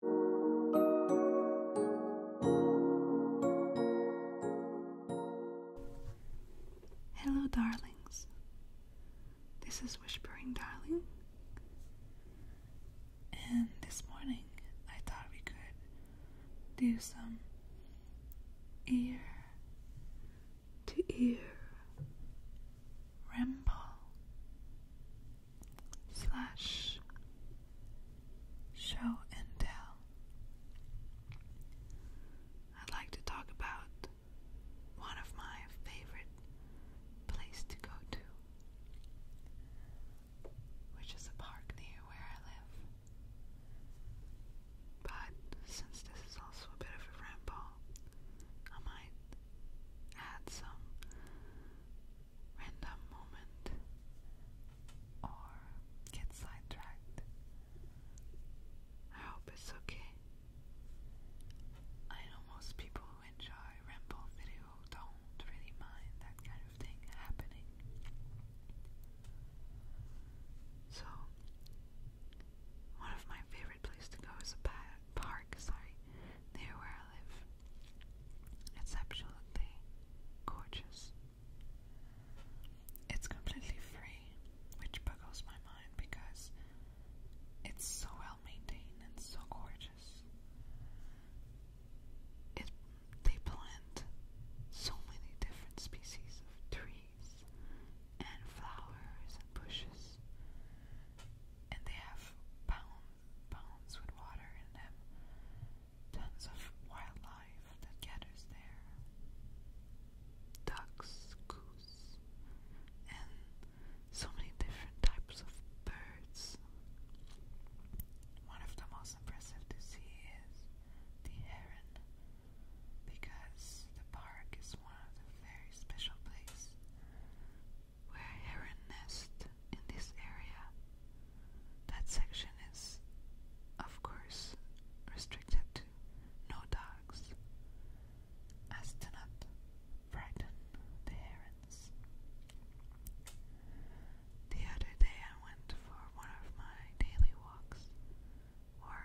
Hello, darlings. This is Whispering Darling. And this morning I thought we could do some ear to ear ramble slash show and tell. I'd like to talk about one of my favorite place to go to, which is a park near where I live. But since this is also a bit of a ramble, I might add some random moment or get sidetracked. I hope it's okay. I know most people who enjoy ramble video don't really mind that kind of thing happening. So, one of my favorite places to go is a park, sorry near where I live. It's absolutely gorgeous. It's completely free, which boggles my mind because it's so well maintained and so gorgeous. It they plant so many different species of trees and flowers and bushes, and they have bones with water in them, tons of wildlife that gathers there. Ducks, goose, and so many different types of birds. One of the most impressive to see is the heron, because the park is one of the very special places where heron nest in this area. That section is, of course, restricted to no dogs. As to not the other day I went for one of my daily walks, or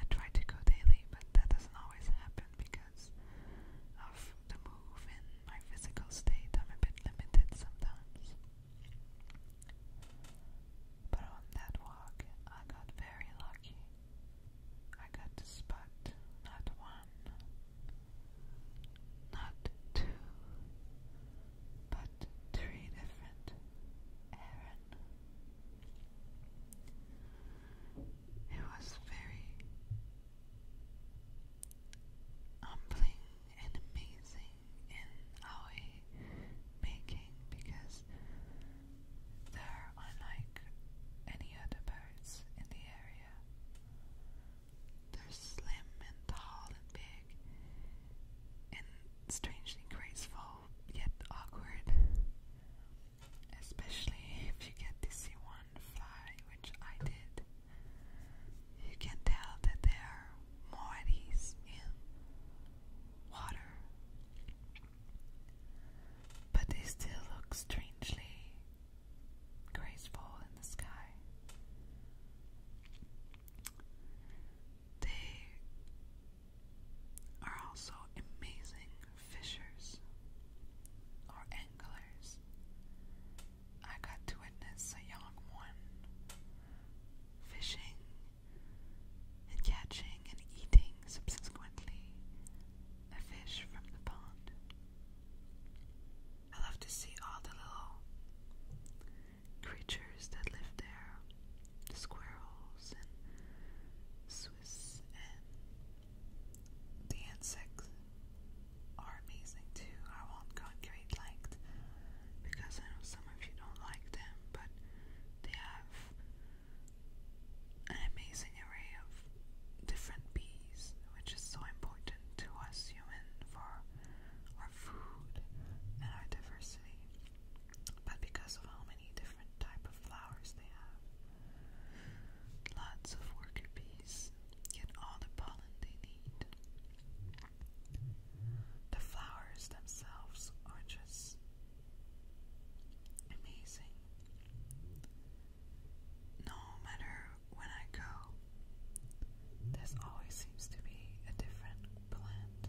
I try to go daily, but that doesn't always happen because of the move and my physical state, I'm a bit limited sometimes. But on that walk, I got very lucky. I got to spot not one, not two, but three different Aaron. It was very humbling and amazing in our making because they're unlike any other birds in the area. They're slim and tall and big and strangely graceful yet awkward. Especially if you get to see one fly, which I did, you can tell that there are more of these in water. But they still look strangely graceful in the sky. They are also amazing fishers, or anglers. I got to witness a young one fishing and catching and eating subsequently a fish from the pond. I love to see all the little creatures that live there squirrels and Swiss and the insects are amazing too. I won't calculate liked because I know some of you don't like them, but they have an amazing array of different bees, which is so important to us human for our food and our diversity. But because of how many different type of flowers they have, Lots of worker bees get all the pollen they need. The flowers themselves are just amazing. No matter when I go, there always seems to be a different plant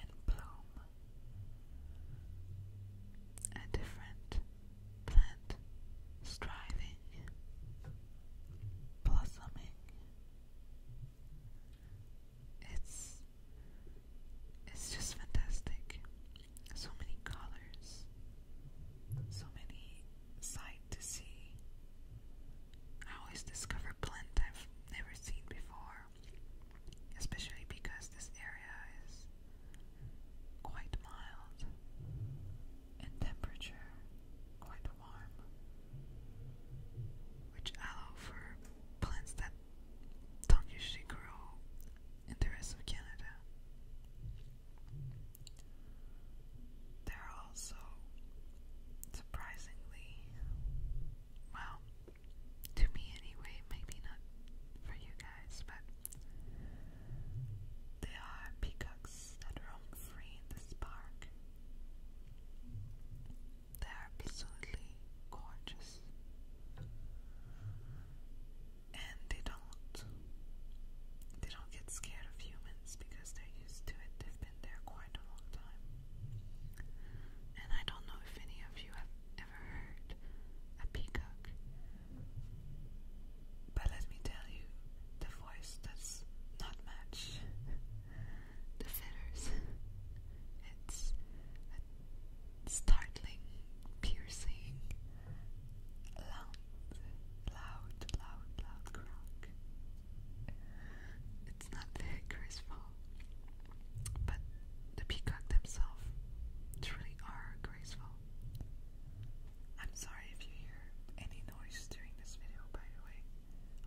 and bloom a different plant striving, blossoming. It's it's just fantastic. So many colors, so many sight to see. I always discover plant I've never seen before, especially because this area is quite mild, in temperature quite warm, which allow for plants that don't usually grow in the rest of Canada. They're also surprisingly well to me, anyway, maybe not for you guys, but there are peacocks that roam free in this park. They are absolutely gorgeous, and they don't they don't get scared of humans because they're used to it. They've been there quite a long time, and I don't know if any of you have ever heard a peacock. But let me tell you, the voice does not match the feathers. It's a startling, piercing, loud, loud, loud, loud croak. It's not very graceful but the peacock themselves truly are graceful. I'm sorry if you hear any noise during this video, by the way.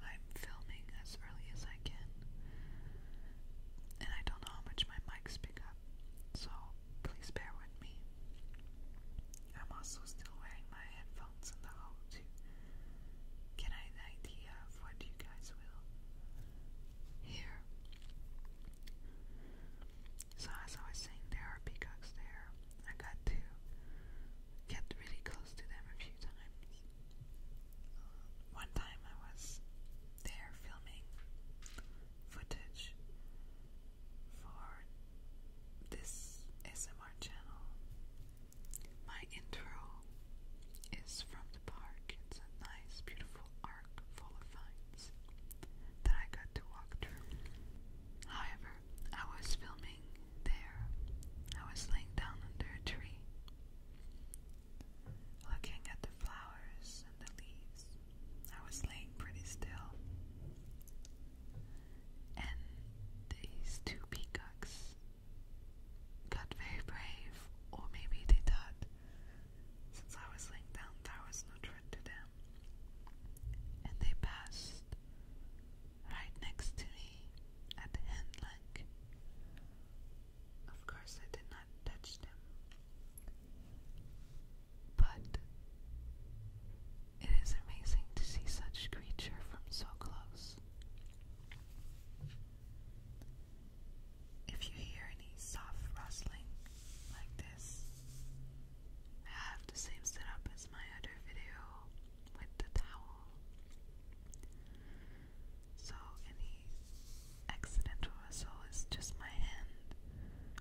I'm filming as early as I can, and I don't know how much my mics picking up, so please bear with me. I'm also still wearing my headphones in the hall to get an idea of what you guys will here. So as I was saying, there are peacocks there. I got to get really close to them a few times. one time I was there filming footage for this SMR channel. My intro is from the park. It's a nice, beautiful art full of vines that I got to walk through. However, I was filming there. I was laying down under a tree, looking at the flowers and the leaves. I was laying pretty still. And these two peacocks got very brave, or maybe they thought since I was laying down, there was no threat to them. And they passed right next to me at hand length. Of course, I did not touch them, but it is amazing to see such creature from so close. If you hear any soft rustling like this, I have the same setup as my other video with the towel. So any accidental rustle is just my hand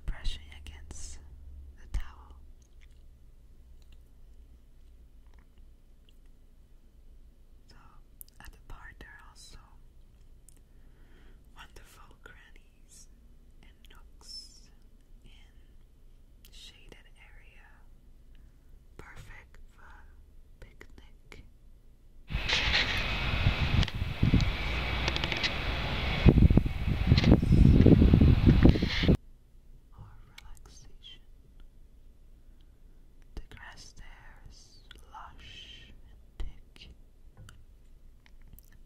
brushing against the towel. So at the park there are also wonderful crannies and nooks in shaded area, perfect for picnic. Or relaxation. The grass there is lush and thick,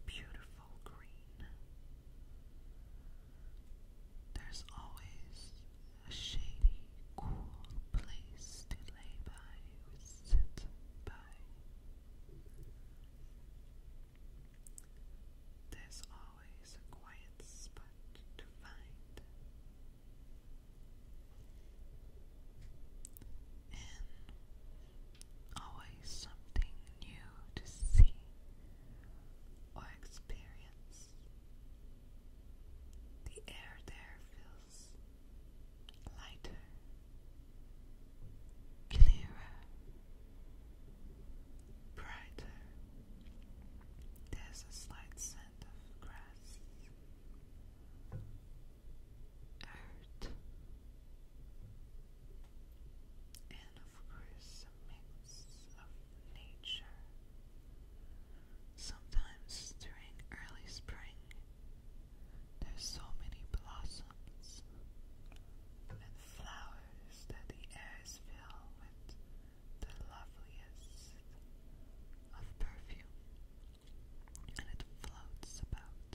beautiful green. There's always a shady, cool place to lay by or sit by. There's always a quiet spot to find and always something new to see or experience. The air there feels lighter, clearer, brighter. There's a slight scent of grass earth, and of course mix of nature. Sometimes during early spring, there's so many blossoms and flowers that the air is filled with the loveliest of perfume, and it floats about.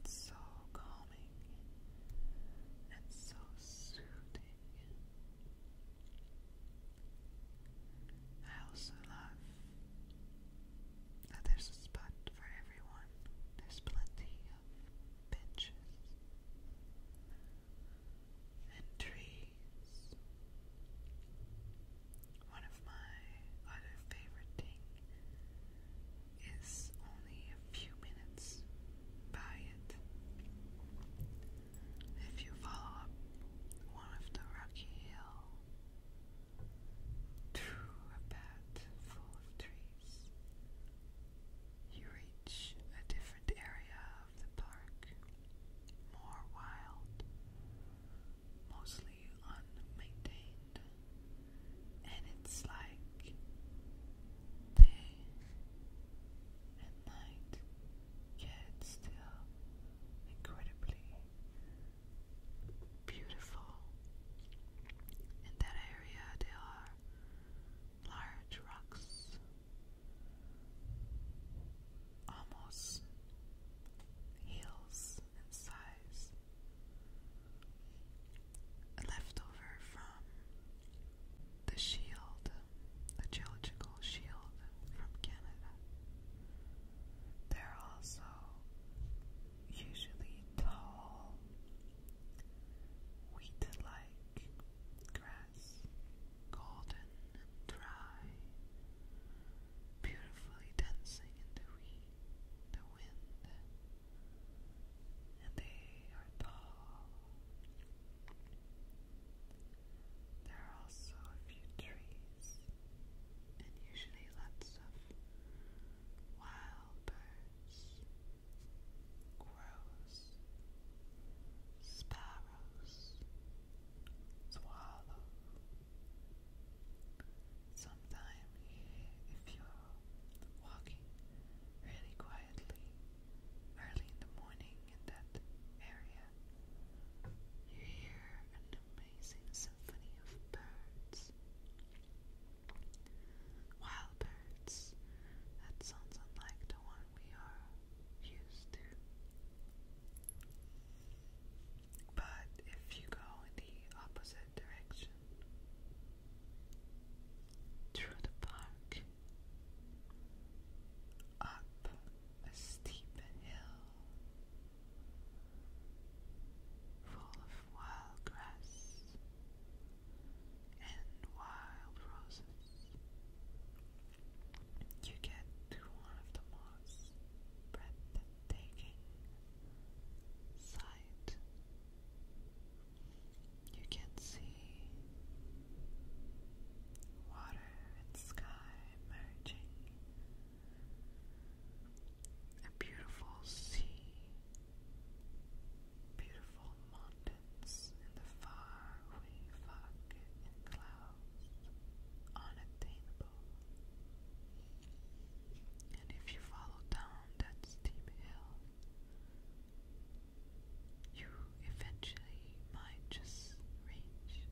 It's so calming and so soothing. I also love that there's a spot for everyone. There's plenty of benches and trees. One of my other favorite thing is only a few minutes by it. If you follow up one of the rocky hill through a path full of trees, you reach a different area the park, more wild, mostly unmaintained, and it's like day and night, yet still incredibly beautiful. In that area, there are large rocks almost heels in size, left over from the shield, the geological shield from Canada. They're also usually tall, weed-like grass golden and dry, beautifully dancing in the wind. And they are tall. There are also a few trees, and usually lots of wild birds, crows, sparrows, swallow. Sometime, if you're walking really quietly early in the morning in that area, you hear an amazing symphony of birds. Wild birds. That sounds unlike the one we are used to. But if you go in the opposite direction through the park, up a steep hill full of wild grass and wild roses. You get to one of the most breathtaking sight. You can see water and sky merging. A beautiful sea, beautiful mountains mountains, in the far-away fog and clouds, unattainable. And if you follow down that steep hill, you eventually might just reach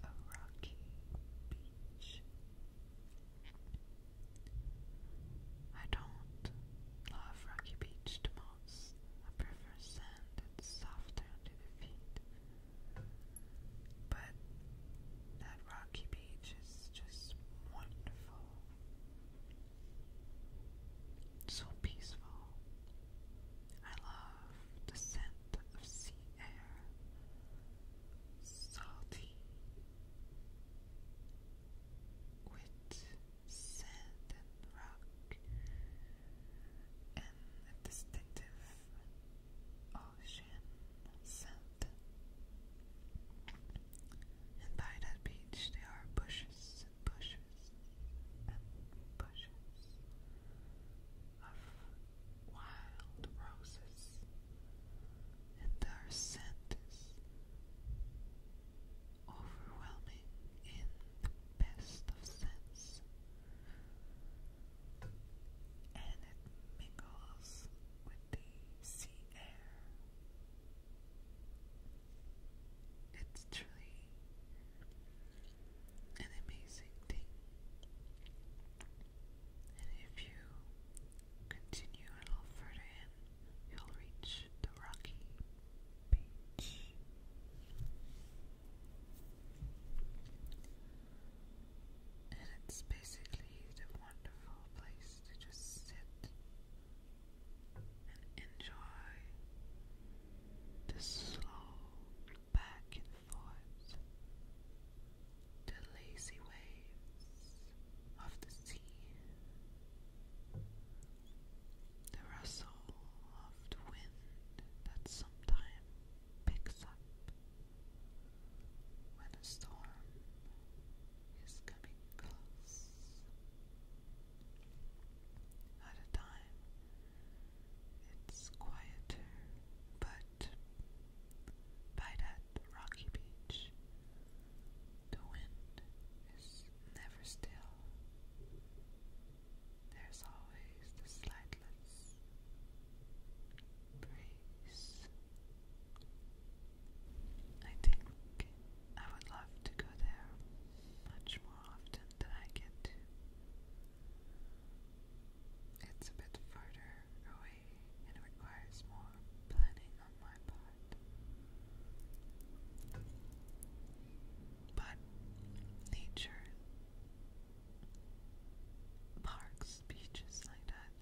a rocky beach. I don't love Rocky Beach the most. I prefer sand, it's softer under the feet. But that rocky beach is just wonderful. So peaceful. I love the scent of sea air. Salty. With sand and rock, and a distinctive ocean scent. And by that beach, there are bushes and bushes and bushes of wild roses, and their scent is overwhelming in the best of sense, and it mingles with the sea air. It's truly an amazing thing. And if you continue a little further in, you'll reach the rocky beach. And it's basically the wonderful place to just sit and enjoy the slow back and forth, the lazy waves of the sea. The rustle of the wind that sometimes picks up when a storm is coming close. At a time, it's quieter, but by that rocky beach, the wind is never still. There's always the slightless breeze. I think I would love to go there much more often than I get It's a bit further away and requires more planning on my part. But nature, parks, beaches like that,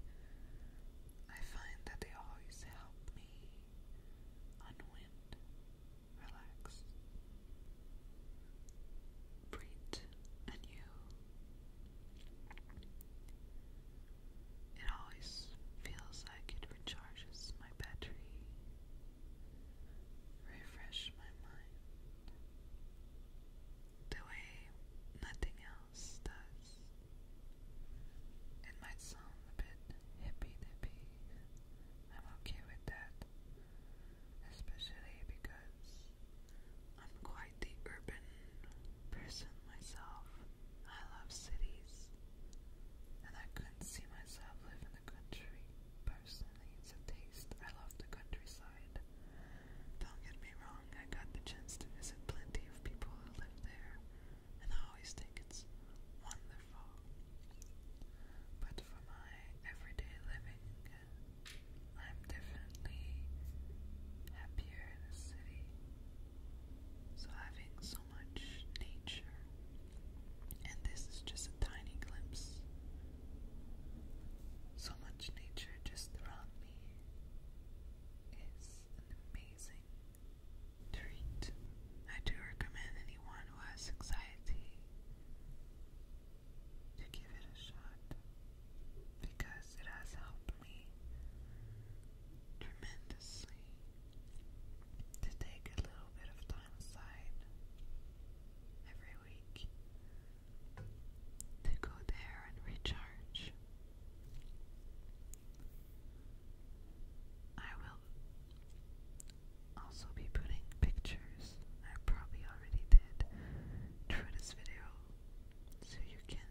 I find that they always help me unwind, relax, breathe anew. It always feels like it recharges my battery, refresh my mind the way nothing else does. It might sound a bit hippy dippy. I'm okay with that, especially because I'm quite the urban person myself. I love cities, and I couldn't see myself live in the country. Personally, it's a taste. I love the countryside. Don't get me wrong, I got the chance to visit plenty of people who live there, and I always think it's wonderful. But for my everyday living, I'm definitely happier in the city. So having so much nature, and this is just a tiny glimpse. So much nature just around me is an amazing treat. I do recommend anyone who has anxiety to give it a shot because it has helped me tremendously to take a little bit of time aside every week to go there and recharge. I will also be putting pictures, I probably already did, through this video so you can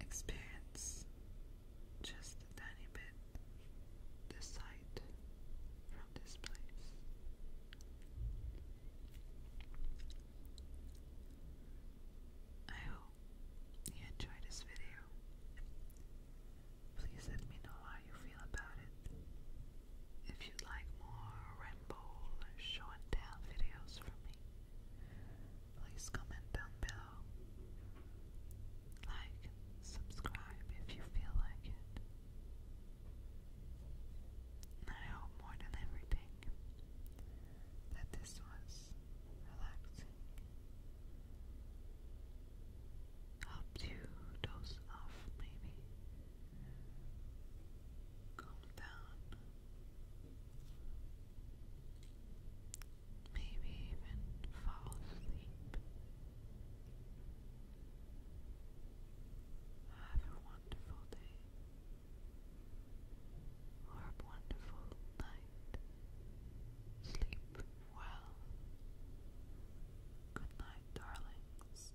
experience just a tiny bit the sight from this place. I hope you enjoyed this video. Please let me know how you feel about it. If you'd like more ramble or videos from me, please comment down below. Like, subscribe if you feel like it. And I hope more than everything that this was relaxing. Help you doze off, maybe. Calm down. Maybe even fall asleep. Have a wonderful day or a wonderful night. Sleep well. Good night, darlings.